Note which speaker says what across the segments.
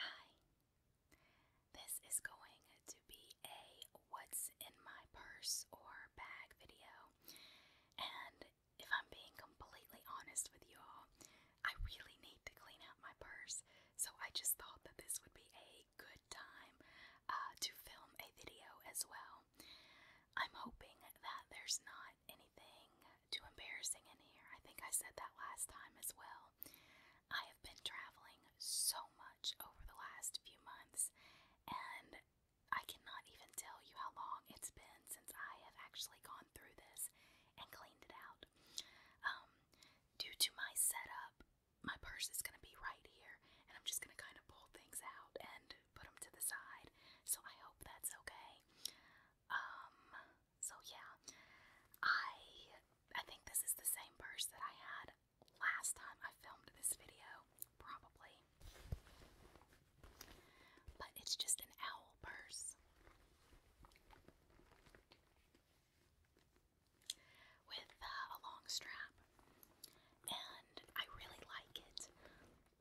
Speaker 1: Hi. This is going to be a what's in my purse or bag video. And if I'm being completely honest with you all, I really need to clean out my purse. So I just thought that this would be a good time uh, to film a video as well. I'm hoping that there's not anything too embarrassing in here. I think I said that last time as well. I have been traveling so much over the last few months, and I cannot even tell you how long it's been since I have actually gone through this and cleaned it out. Um, due to my setup, my purse is going to be right here, and I'm just going to kind of pull things out and put them to the side. So I hope that's okay. Um, so yeah, I I think this is the same purse that I had last time I filmed this video, probably. But it's just an owl purse with uh, a long strap, and I really like it.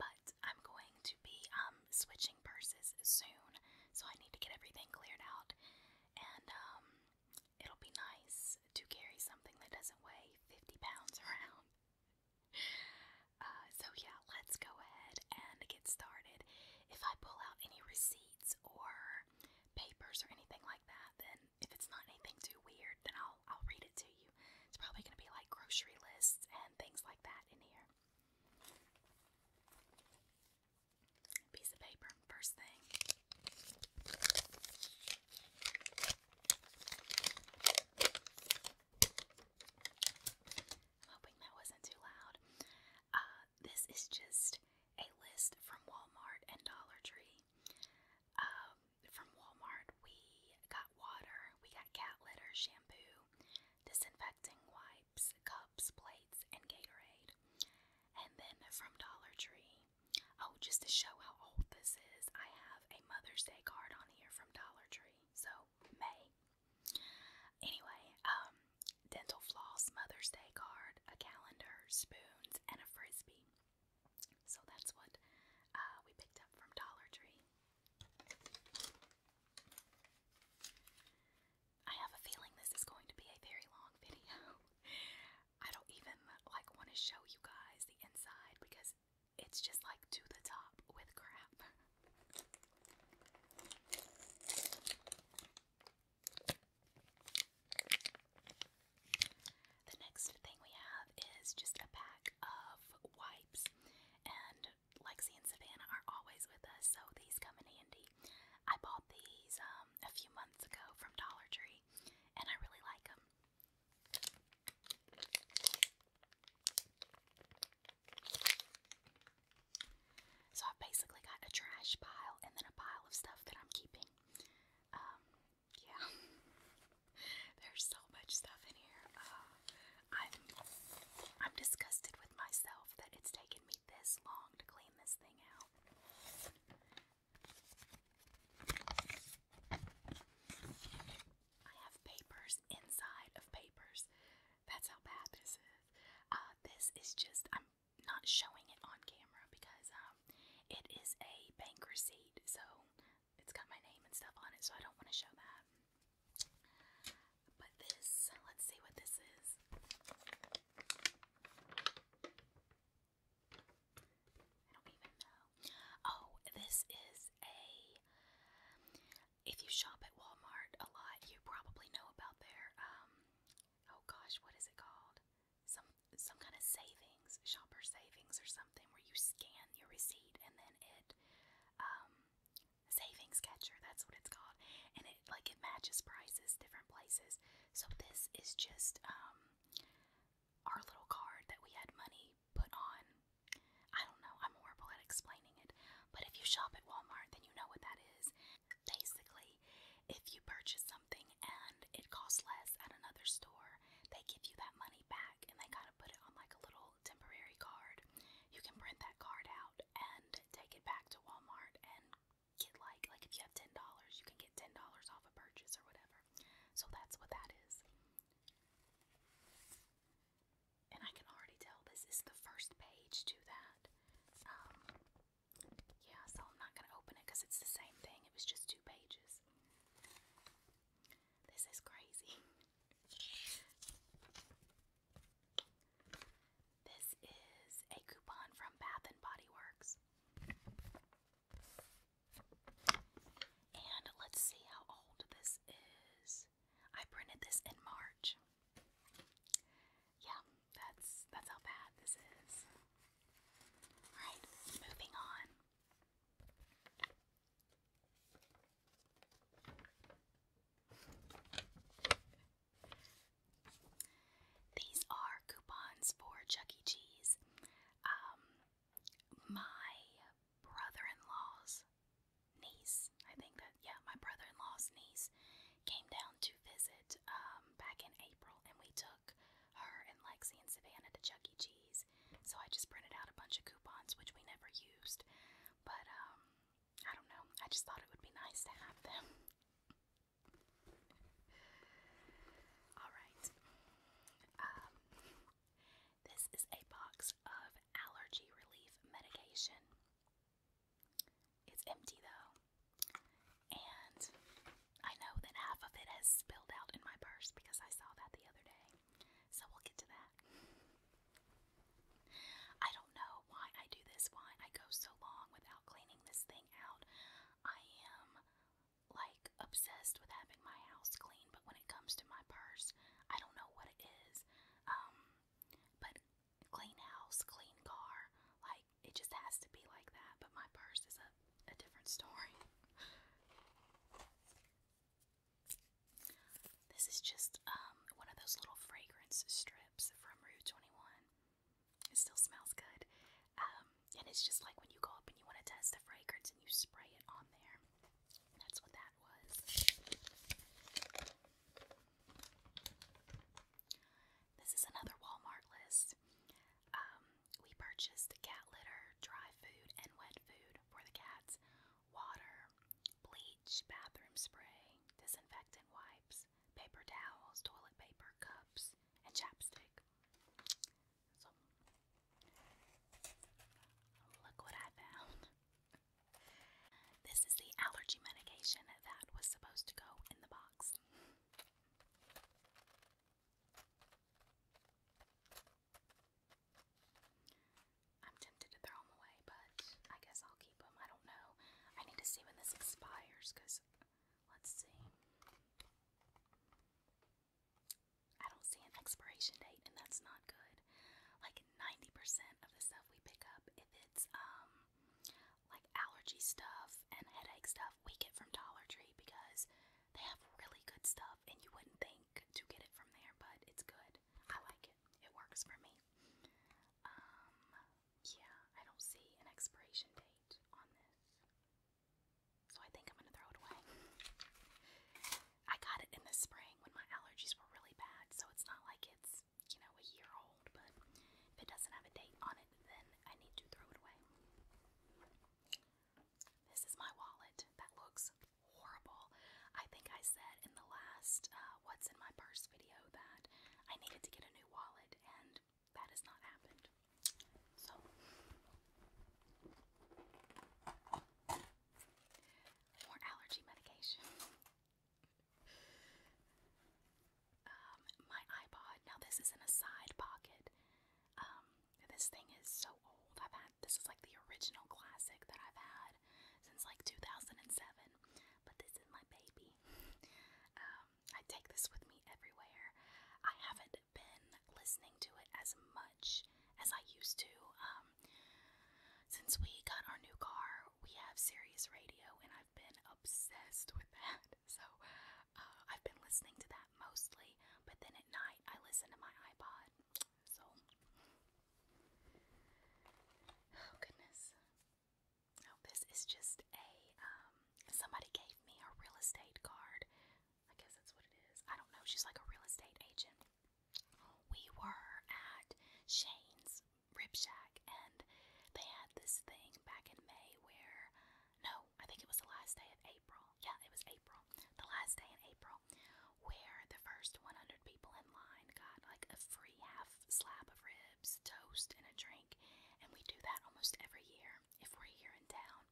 Speaker 1: But I'm going to be um, switching purses soon, so I need to get everything cleared out and um, it'll be nice to carry something that doesn't weigh 50 pounds around. Uh, so, yeah, let's go ahead and get started. If I pull out any receipts or papers or anything like that, then if it's not anything too weird, then I'll, I'll read it to you. It's probably going to be like grocery lists and things like that in here piece of paper first thing. I'm hoping that wasn't too loud. Uh, this is just a list from Walmart and Dollar Tree. Um, from Walmart, we got water, we got cat litter, shampoo, disinfecting wipes, cups, plates, and Gatorade. And then from Dollar Tree, oh, just to show how old this is, I have a Mother's Day card on here from Dollar Tree. So, May. Anyway, um, dental floss, Mother's Day card, a calendar, spoons, and a frisbee. So, that's what uh, we picked up from Dollar Tree. I have a feeling this is going to be a very long video. I don't even like want to show you guys the inside because it's just like to the top with crap. The next thing we have is just a pack of wipes, and Lexi and Savannah are always with us, so these come in handy I bought these um, a few months ago from Dollar Tree, and I really like them. So I've basically got a trash pile and then a pile of stuff that I'm keeping. Um, yeah. There's so much stuff in here. Uh, I'm I'm disgusted with myself that it's taken me this long to clean this thing out. I have papers inside of papers. That's how bad this is. Uh, this is just, I'm not showing it on camera because um, it is a bank receipt, so it's got my name and stuff on it, so I don't want to show that. But this, let's see what this is. I don't even know. Oh, this is a. If you shop at Walmart a lot, you probably know about their. Um, oh gosh, what is it called? Some some kind of savings, shopper savings or something, where you scan your receipt and then it um, savings catcher, that's what it's called. And it like it matches prices different places. So this is just um our little card that we had money put on. I don't know, I'm horrible at explaining it. But if you shop at Walmart, then you know what that is. Basically, if you purchase something and it costs less at another store, they give you that money back and they kind of put it on like a little temporary card. You can print that card out and take it back to Walmart and get like like if you have ten dollars, you can get ten dollars off a purchase or whatever. So that's what that is. And I can already tell this is the first page to that. Um, yeah, so I'm not gonna open it because it's the same thing. It was just two pages. This is crazy. This is a coupon from Bath and Body Works. And let's see how old this is. I printed this in March. Yeah, that's that's how bad this is. Alright, moving on. These are coupons for Chuck E. Cheese. Um, my brother in law's niece, I think that, yeah, my brother in law's niece came down to visit um, back in April, and we took her and Lexi and Savannah to Chuck E. Cheese. So I just printed out a bunch of coupons, which we never used, but um, I don't know. I just thought it would be nice to have them. Alright. Um, this is a box of allergy relief medication. It's empty though. And I know that half of it has spilled out in my purse because I saw that the other day. So we'll get to that. I don't know why I do this, why I go so long without cleaning this thing out. I am like obsessed with having my house clean, but when it comes to my purse, I don't know what it is. Um, but clean house, clean car, like it just has to be like that. But my purse is a, a different story. This is just um, one of those little fragrance strips from Rue 21. It still smells good. Um, and it's just like when you go up and you want to test the fragrance and you spray it on there. That's what that was. This is another Walmart list. Um, we purchased cat litter, dry food, and wet food for the cats, water, bleach, bathroom spray, disinfectant wipes, paper towels, toilet paper, cups, and chapstick. look what I found. This is the allergy medication that was supposed to go in the box. I'm tempted to throw them away but I guess I'll keep them. I don't know. I need to see when this expires because let's see. I don't see an expiration date, and that's not good. Like 90% of the stuff we pick up, if it's um like allergy stuff and headache stuff, we get from Dollar Tree because they have really good stuff, and you wouldn't think to get it from there, but it's good. I like it. It works for me. Um, yeah, I don't see an expiration date on this. So I think I'm going to throw it away. I got it in the spring when my allergies were really bad, so it's not like it's, you know, a year old, but if it doesn't have a date on it, then I need to throw it away. This is my wallet that looks horrible. I think I said in the last uh, What's in My Purse video that I needed to get a new wallet, and that has not happened. So, more allergy medication. Um, my iPod. Now, this is in a side pocket. Um, this thing is so old. I've had this is like the original classic that I've had since like 2007. But this is my baby me. Um, I take this with me everywhere. I haven't been listening to it as much as I used to. Um, since we got our new car, we have Sirius Radio, and I've been obsessed with that. So uh, I've been listening to that mostly, but then at night I listen to my iPod. So, oh goodness. Oh, this is just a, um, somebody gave me a real estate card. I guess that's what it is. I don't know. She's like a real estate agent. We were at Shane's Rib Shack and they had this thing back in May where, no, I think it was the last day of April. Yeah, it was April. The last day in April where the first 100 people in line got like a free half slab of rib chips, toast, and a drink. And we do that almost every year if we're here in town.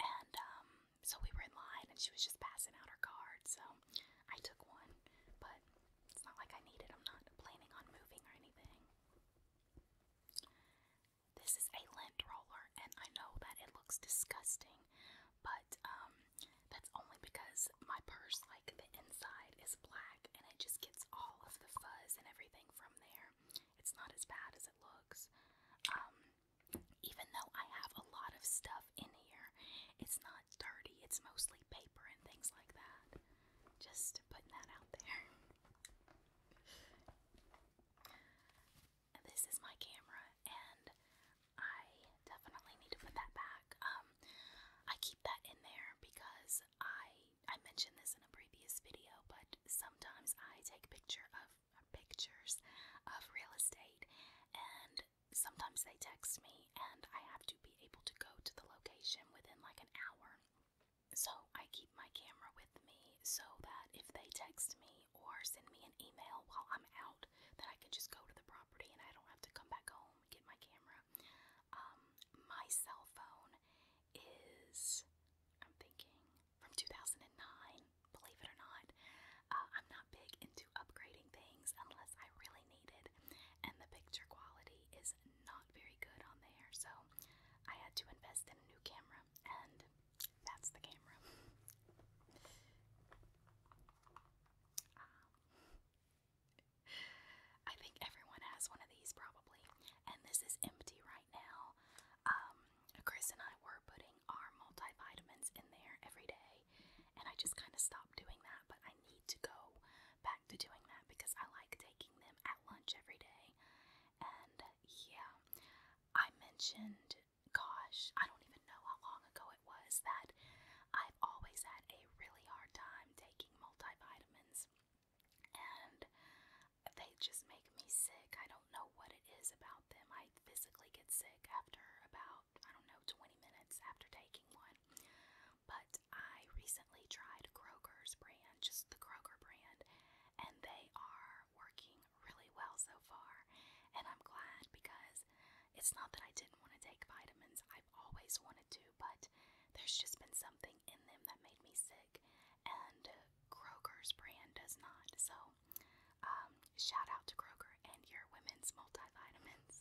Speaker 1: And um, so we were in line, and she was just passing out her card. So I took one, but it's not like I need it. I'm not planning on moving or anything. This is a lint roller, and I know that it looks disgusting, but um, that's only because my purse like the inside is black and it just gets all of the fuzz and everything from there. It's not as bad as it looks. Um, even though I have a lot of stuff in here, it's not dirty. It's mostly paper and things like that. Just putting that out there. And this is my camera, and I definitely need to put that back. Um, I keep that in there because I I mentioned this in a previous video, but sometimes I take picture of pictures of real estate and sometimes they text me and I have to be able to go to the location within like an hour. So I keep my camera with me so that if they text me or send me an email while I'm out, that I can just go to the property and I don't have to come back home get my camera. Um, my cell phone is, I'm thinking, from 2009, believe it or not. Uh, I'm not big into upgrading things unless I really need it, and the picture quality is not very good on there, so I had to invest in a new camera, and that's the camera. Um, I think everyone has one of these probably, and this is empty right now. Um, Chris and I were putting our multivitamins in there every day, and I just kind of stopped doing that, but I need to go back to doing that because I like taking them at lunch every day. And yeah, I mentioned, gosh, I don't even know how long ago it was that I've always had a really hard time taking do multivitamins and they just make me sick. I don't know what it is about them. I physically get sick after about, I don't know, 20 minutes after taking one. But I recently tried Kroger's brand, just the Kroger brand, and they are working really well so far. And I'm glad because it's not that I didn't want to take vitamins, I've always wanted to, but there's just been something in them that made me sick, and Kroger's brand does not. So, um, shout out to Kroger and your women's multivitamins.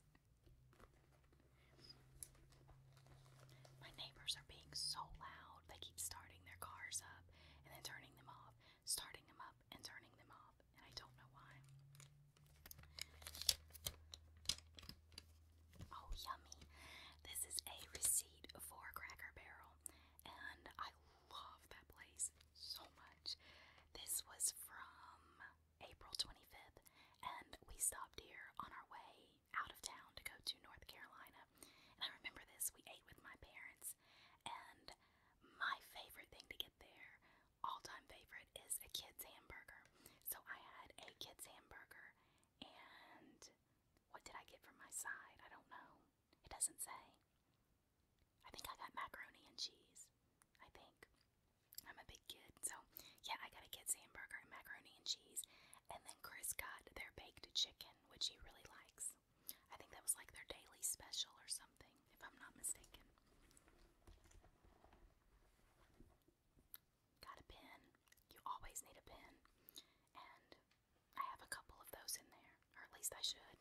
Speaker 1: My neighbors are being so loud. They keep starting their cars up and then turning them off, starting them up and turning them off, and I don't know why. Oh, yummy. This is a receipt for Cracker Barrel, and I love that place so much. This was from April 25th, and we stopped here on our way out of town to go to North Carolina. And I remember this, we ate with my parents, and my favorite thing to get there, all time favorite is a kid's hamburger. So I had a kid's hamburger, and what did I get from my side? I don't know. It doesn't say. I think I got macaroni and cheese. I think. I'm a big kid, so yeah, I got a kid's hamburger macaroni and cheese. And then Chris got their baked chicken, which he really likes. I think that was like their daily special or something, if I'm not mistaken. Got a pin. You always need a pen, And I have a couple of those in there, or at least I should.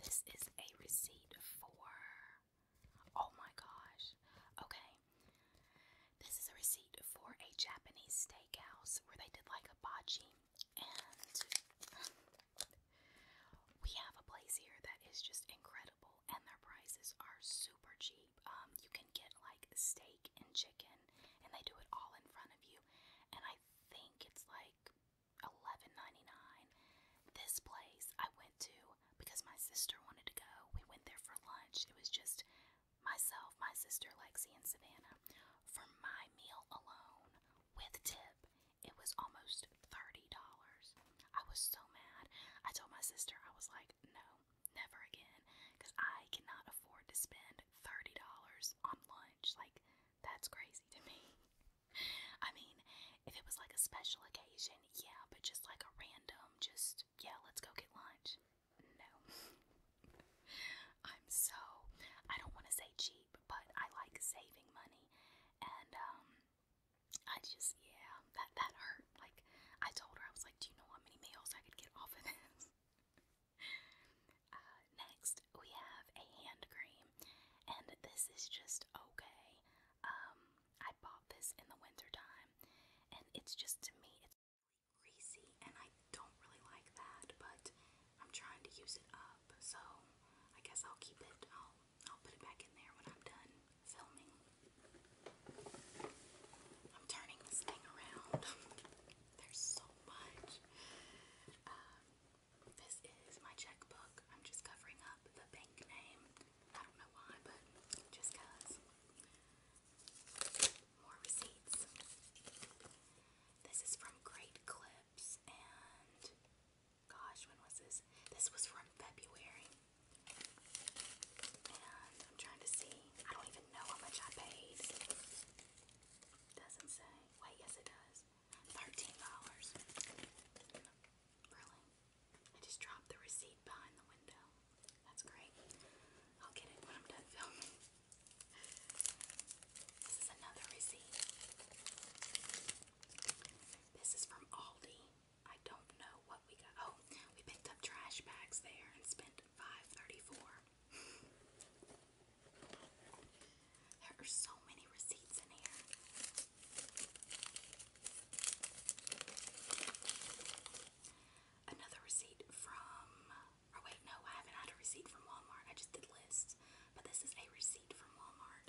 Speaker 1: This is a receipt for. Oh my gosh. Okay. This is a receipt for a Japanese steakhouse where they did like a bocce and we have a place here that is just incredible, and their prices are super cheap. Um, you can get like steak and chicken, and they do it all in front of you. And I think it's like $11.99. This place I went to because my sister wanted to go. We went there for lunch. It was just myself, my sister Lexi, and Savannah for my meal alone with tip. It was almost $30. I was so mad. I told my sister, I was like, no, never again, because I cannot afford to spend $30 on lunch. Like, that's crazy to me. I mean, if it was like a special occasion, yeah, but just like a random, just, yeah, let's go get lunch. No. I'm so, I don't want to say cheap cheap, but I like saving money, and um, I just yeah, that that hurt. Like I told her, I was like, do you know how many meals I could get off of this? uh, next, we have a hand cream, and this is just okay. Um, I bought this in the winter time, and it's just to me, it's greasy, and I don't really like that, but I'm trying to use it up, so I guess I'll keep it. I'll I'll put it back in there when I'm done filming. I'm turning this thing around. There's so much. Um, this is my checkbook. I'm just covering up the bank name. I don't know why, but just cause. More receipts. This is from Great Clips, and gosh, when was this? This was from February. I'm trying to see. I don't even know how much I paid. Doesn't say. Wait, yes it does. Thirteen dollars. Really? I just dropped the receipt behind the window. That's great. I'll get it when I'm done filming. This is another receipt. This is from Aldi. I don't know what we got. Oh, we picked up trash bags there and spent $5.34. There are so many receipts in here. Another receipt from, or oh, wait, no, I haven't had a receipt from Walmart. I just did lists. But this is a receipt from Walmart,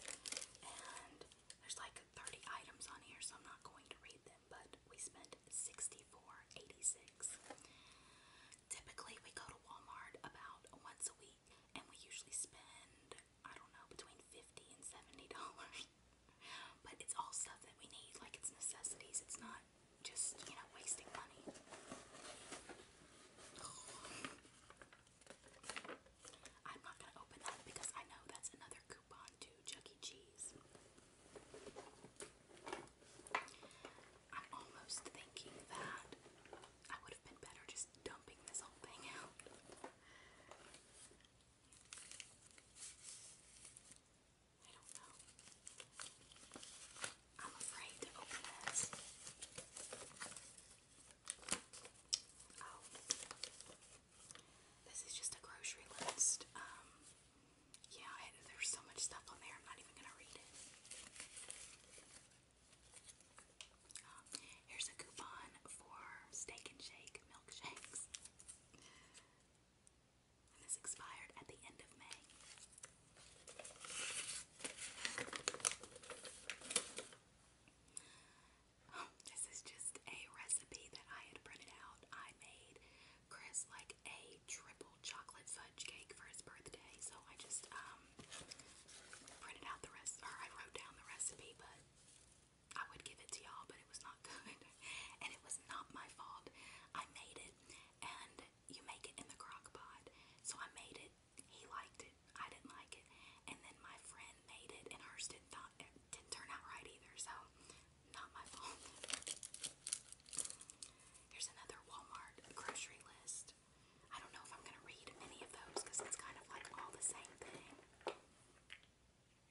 Speaker 1: and there's like 30 items on here, so I'm not going to read them. But we spent 64.86. Typically, we go to Walmart about once a week, and we usually spend I don't know between 50 and 70 dollars. but it's all stuff that we need, like it's necessities. It's not just you know wasting money. I'm not going to open that because I know that's another coupon to Chuck E. Cheese. I'm almost thinking that I would have been better just dumping this whole thing out. I don't know. I'm afraid to open this. Oh. This is just a grocery list. Um, yeah, I, there's so much stuff on there, I'm not even going to read it. Uh, here's a coupon for Steak and Shake milkshakes. And this expired at the end of May. This is just a recipe that I had printed out. I made Chris like a triple chocolate fudge cake for his birthday, so I just um, printed out the rest or I wrote down the recipe, but I would give it to y'all, but it was not good. and it was not my fault. I made it and you make it in the crock pot. So I made it he liked it. I didn't like it. And then my friend made it, and hers did not it didn't turn out right either. So not my fault. Here's another Walmart grocery list. I don't know if I'm gonna read many of those because it's kind of like all the same thing.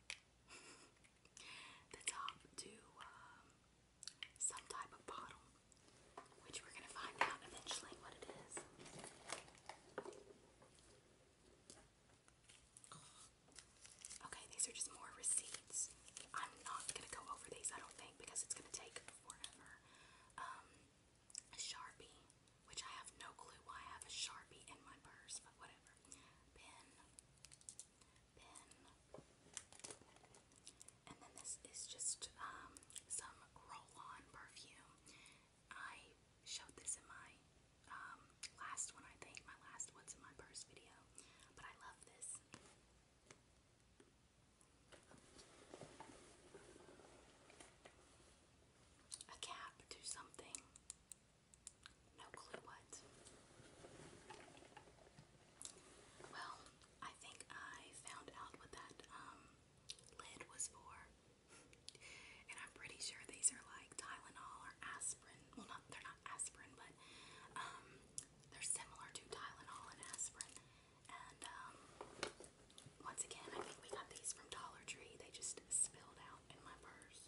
Speaker 1: the top to um, some type of bottle which we're going to find out eventually what it is. Okay, these are just more receipts. I'm not going to go over these, I don't think, because it's going to take forever. Um, a Sharpie, which I have no clue why I have a Sharpie in my purse, but whatever. Pen. Pen. And then this is just um, some roll on perfume. I showed this in my um, last one, I think, my last one's in My first video, but I love this. A cap to something. No clue what. Well, I think I found out what that um, lid was for. and I'm pretty sure these are like Tylenol or aspirin. Well, not they're not aspirin, but um, they're similar to Tylenol and aspirin. And um, once again, I think we got these from Dollar Tree. They just spilled out in my purse.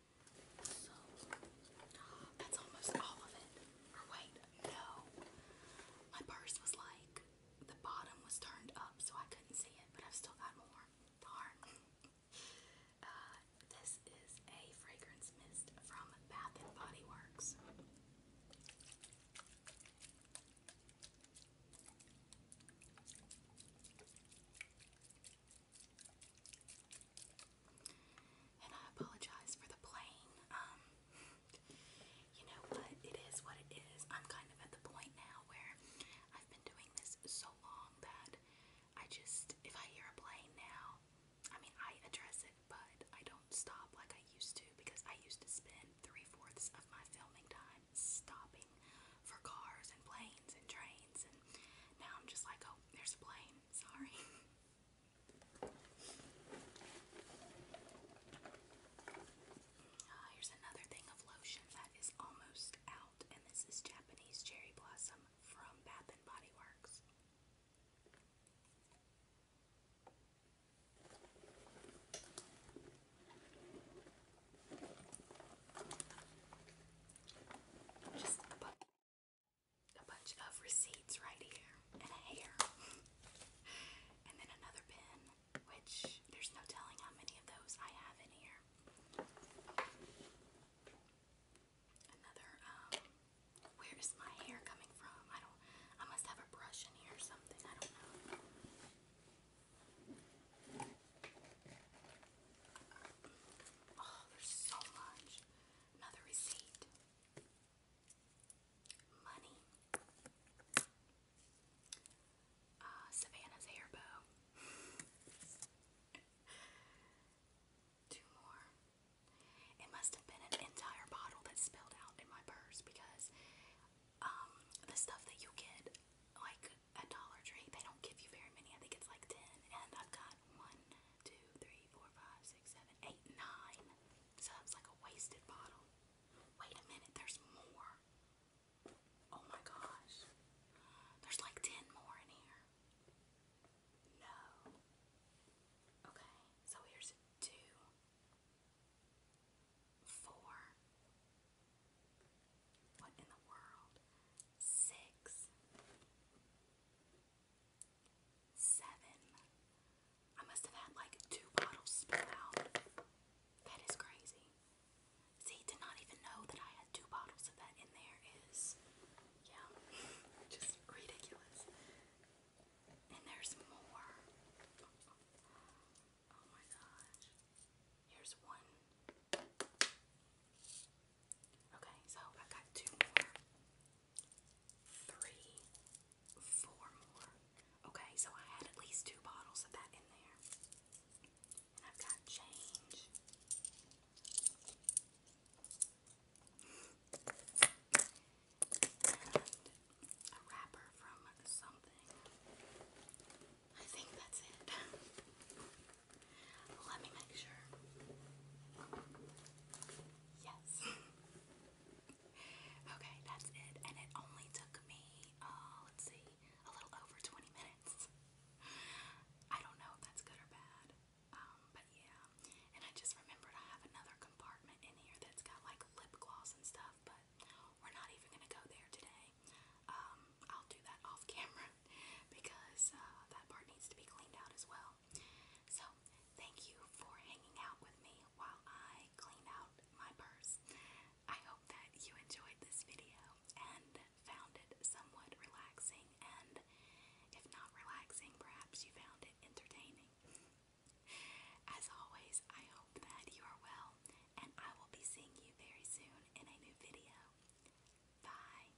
Speaker 1: So that's almost all of it. Or wait, no. My purse was like the bottom was turned up so I couldn't see it, but I've still got more. Darn. Uh, this is a fragrance mist from Bath and Body Works. And I apologize for the plane. Um, you know what? It is what it is. I'm kind of at the point now where I've been doing this so long that I just, if I hear a plane now, I mean, I address it, but I don't stop like I used to because I used to spend three fourths of my filming time stopping for cars and planes and trains, and now I'm just like, oh, there's a plane. Sorry. Ah, here's another thing of lotion that is almost out, and this is Japanese Cherry Blossom from Bath and Body Works. Just a bucket a bunch of receipts right here and a hair. and then another pen, which there's no telling how many of those I have in here. Another, um, where is my hair coming from? I don't, I must have a brush in here or something, I don't know. Oh, there's so much. Another receipt. Money. Uh, Savannah's hair bow. Two more. It must have been an entire bottle that spilled out in my purse because um, the stuff that you get, like at Dollar Tree, they don't give you very many. I think it's like 10, and I've got one, two, three, four, five, six, seven, eight, nine. So that's like a wasted bottle. Wait a minute, there's more. Oh my gosh. There's like 10 more in here. No. Okay, so here's two, four. What in the world? Six, Seven. I must have had like two bottles spill out. That is crazy. See, to not even know that I had two bottles of that in there is, yeah, just ridiculous. And there's more. Oh my gosh. Here's one. Okay, so I got two more three, four more. Okay, so I had at least two bottles of that in there. And I've got change. And a wrapper from something. I think that's it. Let me make sure. Yes. okay, that's it. And it only took me, uh, let's see, a little over 20 minutes. I don't know if that's good or bad. Um, but yeah. And I just remembered I have another compartment in here that's got like lip gloss and stuff, but we're not even gonna go there today. Um, I'll do that off camera because uh, that part needs to be cleaned out as well. So, thank you for hanging out with me while I clean out my purse. I hope that you enjoyed this video and found it somewhat relaxing, and if not relaxing, perhaps you found it entertaining. As always, I hope that you are well, and I will be seeing you very soon in a new video. Bye.